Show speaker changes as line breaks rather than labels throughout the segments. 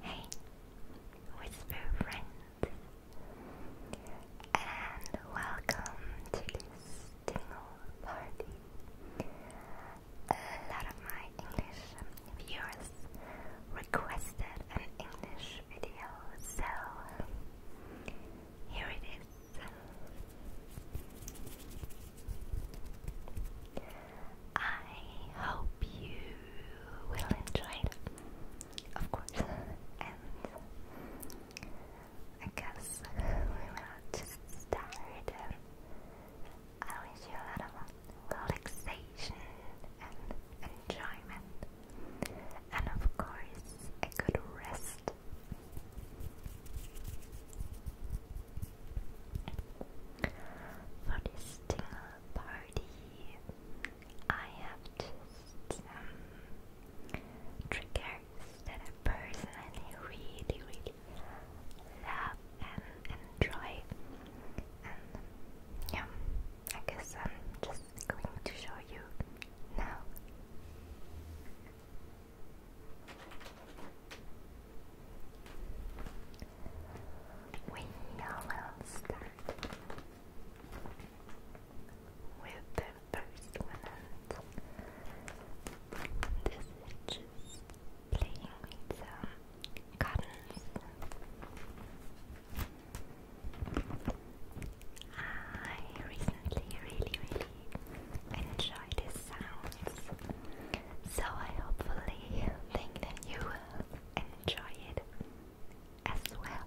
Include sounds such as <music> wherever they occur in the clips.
Hey, Whisper friends, and welcome to this tingle A lot of my English viewers requested an English video, so here it is. I hope you will enjoy it, of course. and I guess we will just start. I wish you a lot of relaxation and enjoyment, and of course, a good rest. For this tingle party, I have just some triggers that I personally really, really love and enjoy. And yeah, I guess I'm just going to show you now. We will start with the first one. This is just playing with some cottons. I recently really, really enjoy these sounds. So I hopefully think that you will enjoy it as well.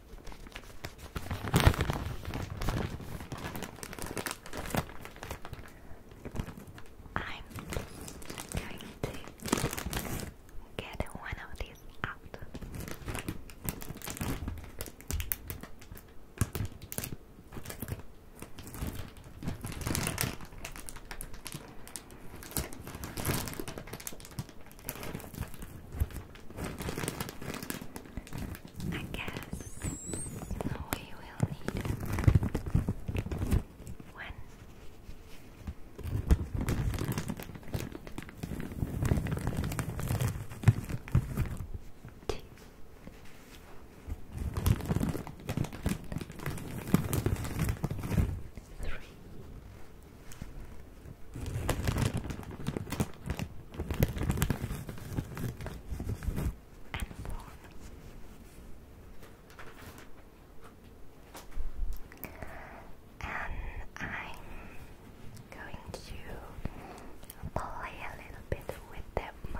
I'm going to get one of these out. I guess we will need one and warm. I'm going to play a little bit with them.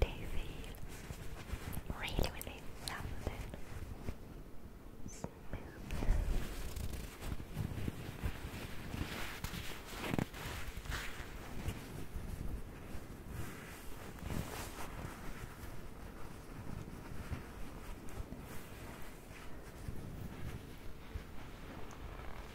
Daisy really, really sounded smooth.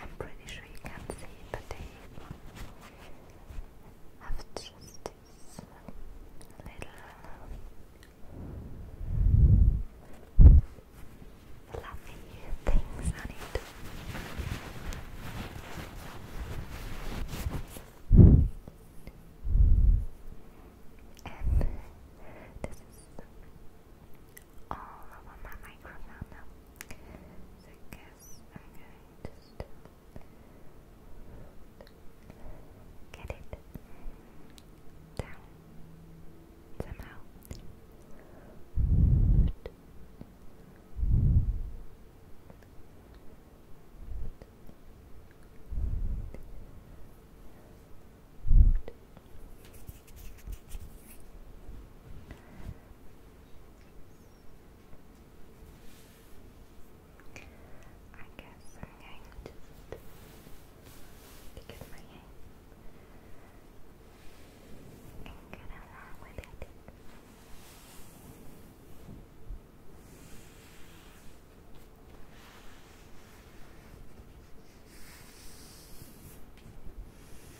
I'm pretty sure you can not see but they have just little uh, fluffy things on it. And this is all over my microphone Okay, just get it down somehow. I guess I'm going to just take my hand and get along with it.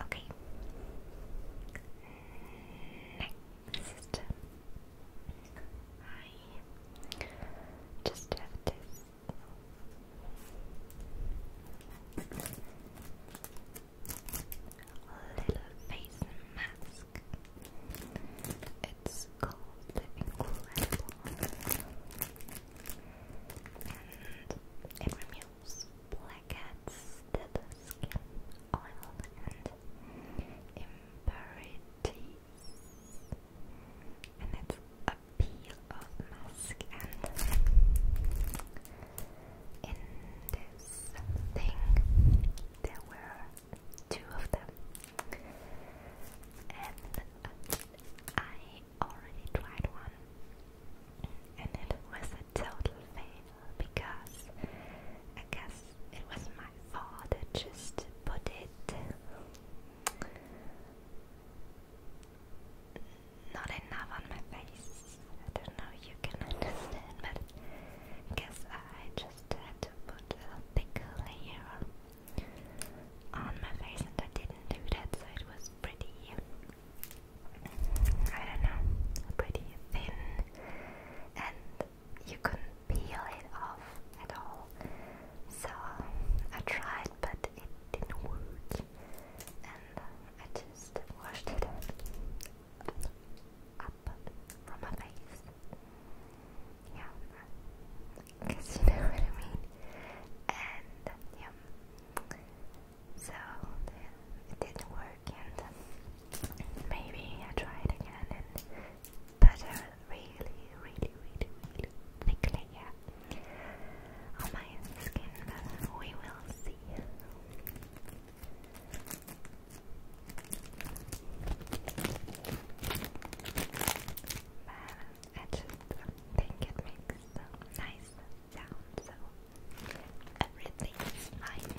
Okay. Next, I just have this little face mask. It's called Incredible, and it removes blackheads, dead skin, oil, and impurities. And it's a peel mask and in this thing there were two of them, and I already tried one, and it was a total fail because I guess it was my fault. just put it not enough on my face. I don't know if you can understand, but I guess I just had to put a thick layer on my face, and I didn't do that, so it was pretty. I don't know, pretty thin, and you couldn't peel it off at all. So I tried, but it didn't work, and I just washed it up from my face. Yeah, because you know what I mean. And yeah, so it didn't work, and maybe I try it again, and but really, really, really, really thickly, yeah, on my skin. we will see. Uh, I just think it makes a nice sound, so everything is fine.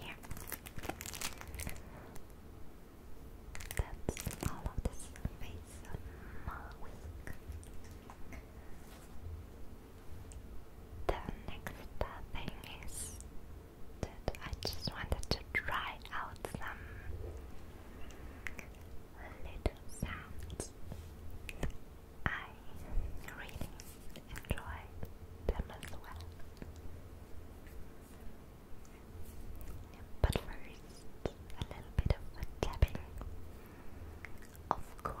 Yeah. That's all of this face of The next thing is I just wanted to try out some little sounds. I really enjoy them as well. But first, a little bit of tapping. Of course.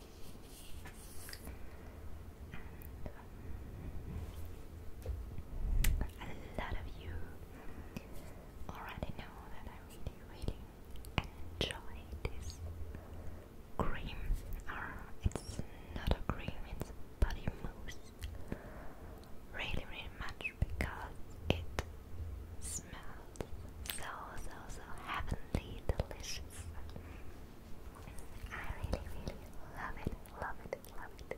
And a lot of you already know that I really, really enjoy this cream. Or it's not a cream, it's body mousse. Really, really much because it smells so, so, so heavenly delicious. I really, really love it, love it, love it.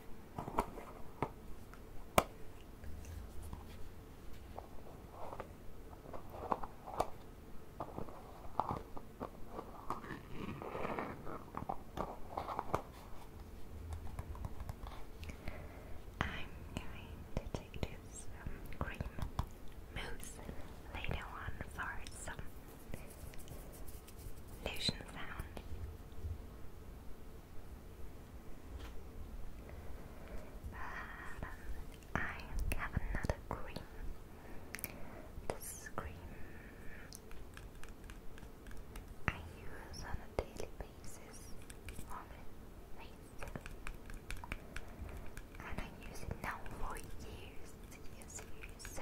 I'm going to take this um, cream mousse later on for some lotion sound. But um, I have another cream. This cream I use on a daily basis on my And I use it now for years, years, years. So,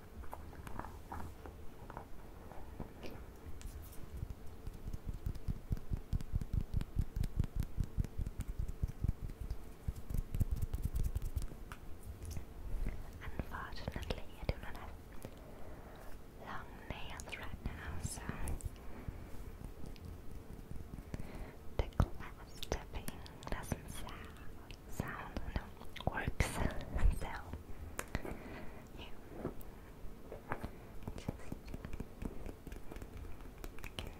Unfortunately, I do not have long nails right now, so the glass tapping doesn't sound, sound no, works. <laughs> so here.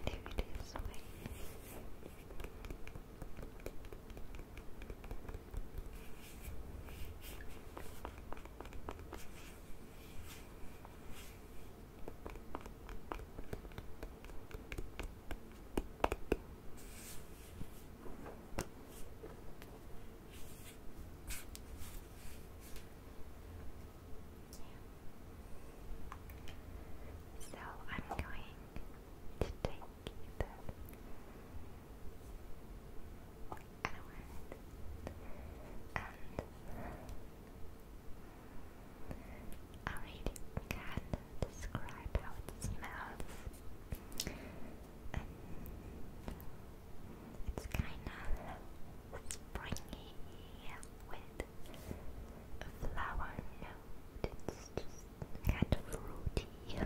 Just this way. So I'm going to take the element and I really can describe how it smells um, it's kind of springy with flower note. It's fruity. I don't know. I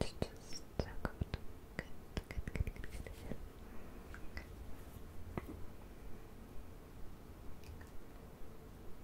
It's just so good.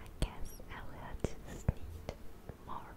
I guess I will just more.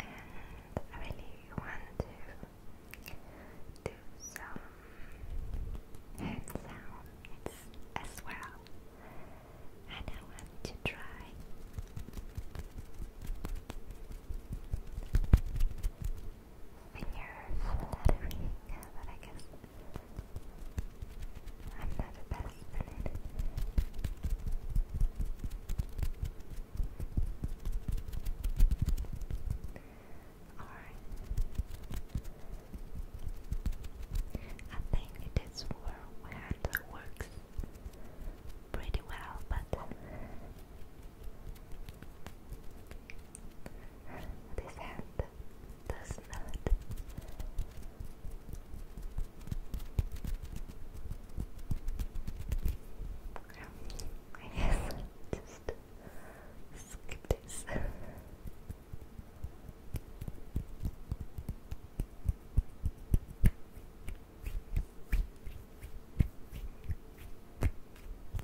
And I really want to do some hand sounds as well. And I want to try fingers lettering, yeah, but I guess I'm not the best in it. Alright. I think this hand works pretty well, but this hand does not. I guess just skip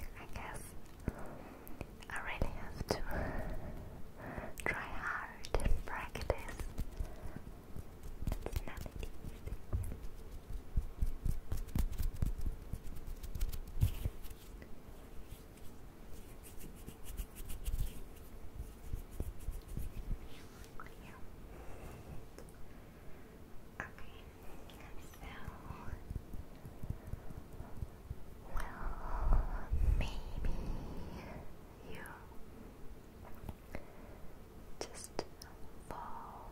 I guess I really have to <laughs> try hard and practice. Okay, so well, maybe you just fall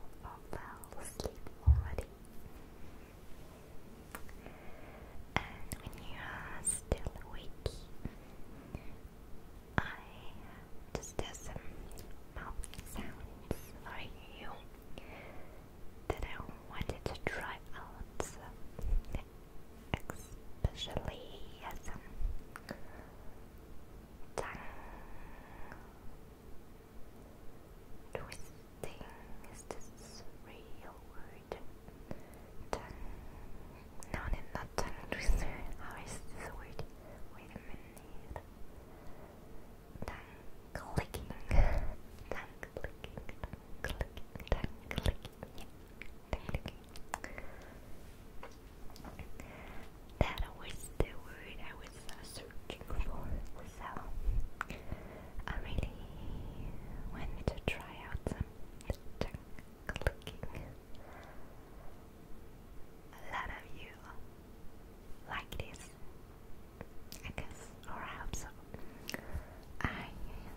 asleep already, and when you are still awake, I just have some mouth sounds for you that I wanted to try out, especially some tongue twisting. Is this real word? Tongue. no, not tongue twister. How is this word? Wait a minute. Tongue clicking. That was the word I was uh, searching for. So I really want to try out some clicking a lot of you like this. I guess, or I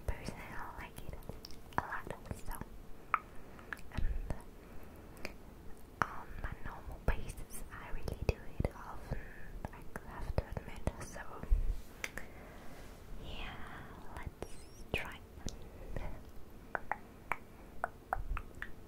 personally like it a lot, so. Um, on my normal basis, I really do it often, I have to admit, so. Yeah, let's try. Sounds like a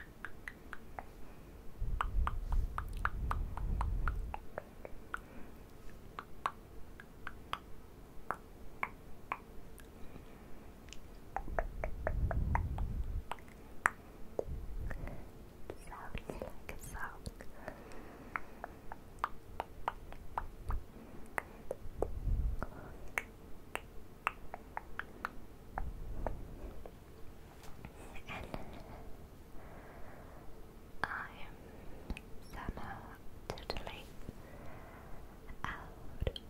song. Sounds like a song. And I'm totally out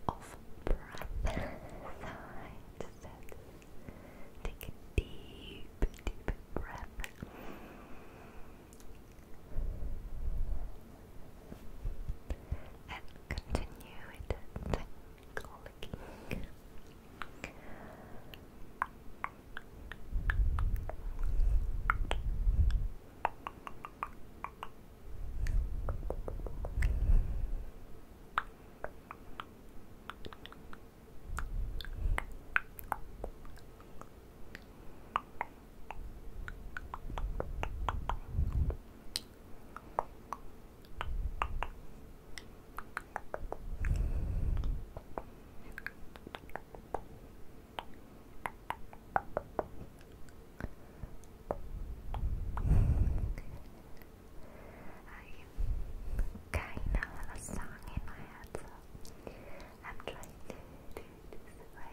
of breath, take a deep, deep breath continue it clicking. I kind of a song in my head, so I'm trying to do it this way.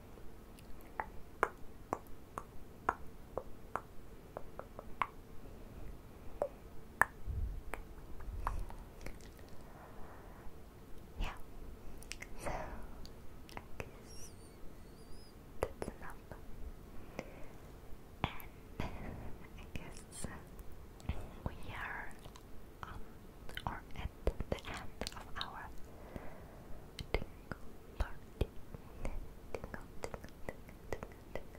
Yeah. So I guess that's enough. And <laughs> I guess uh, we are um, or at the end of our tingle party. Tingle, tingle, tingle, tingle, tingle, tingle,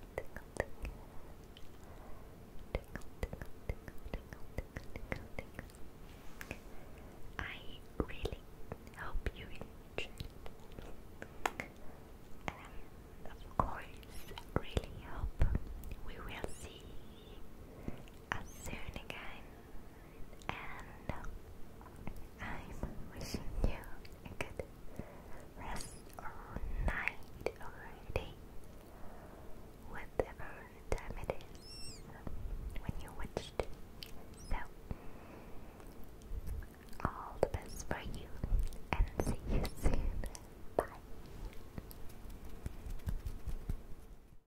tingle. Tingle, tingle, tingle, tingle, tingle, tingle, tingle. I really hope you enjoyed and of course really hope we will see us soon again and I'm wishing you a good rest or night or day, whatever time it is when you watched. So, all the best for you, and see you soon. Bye.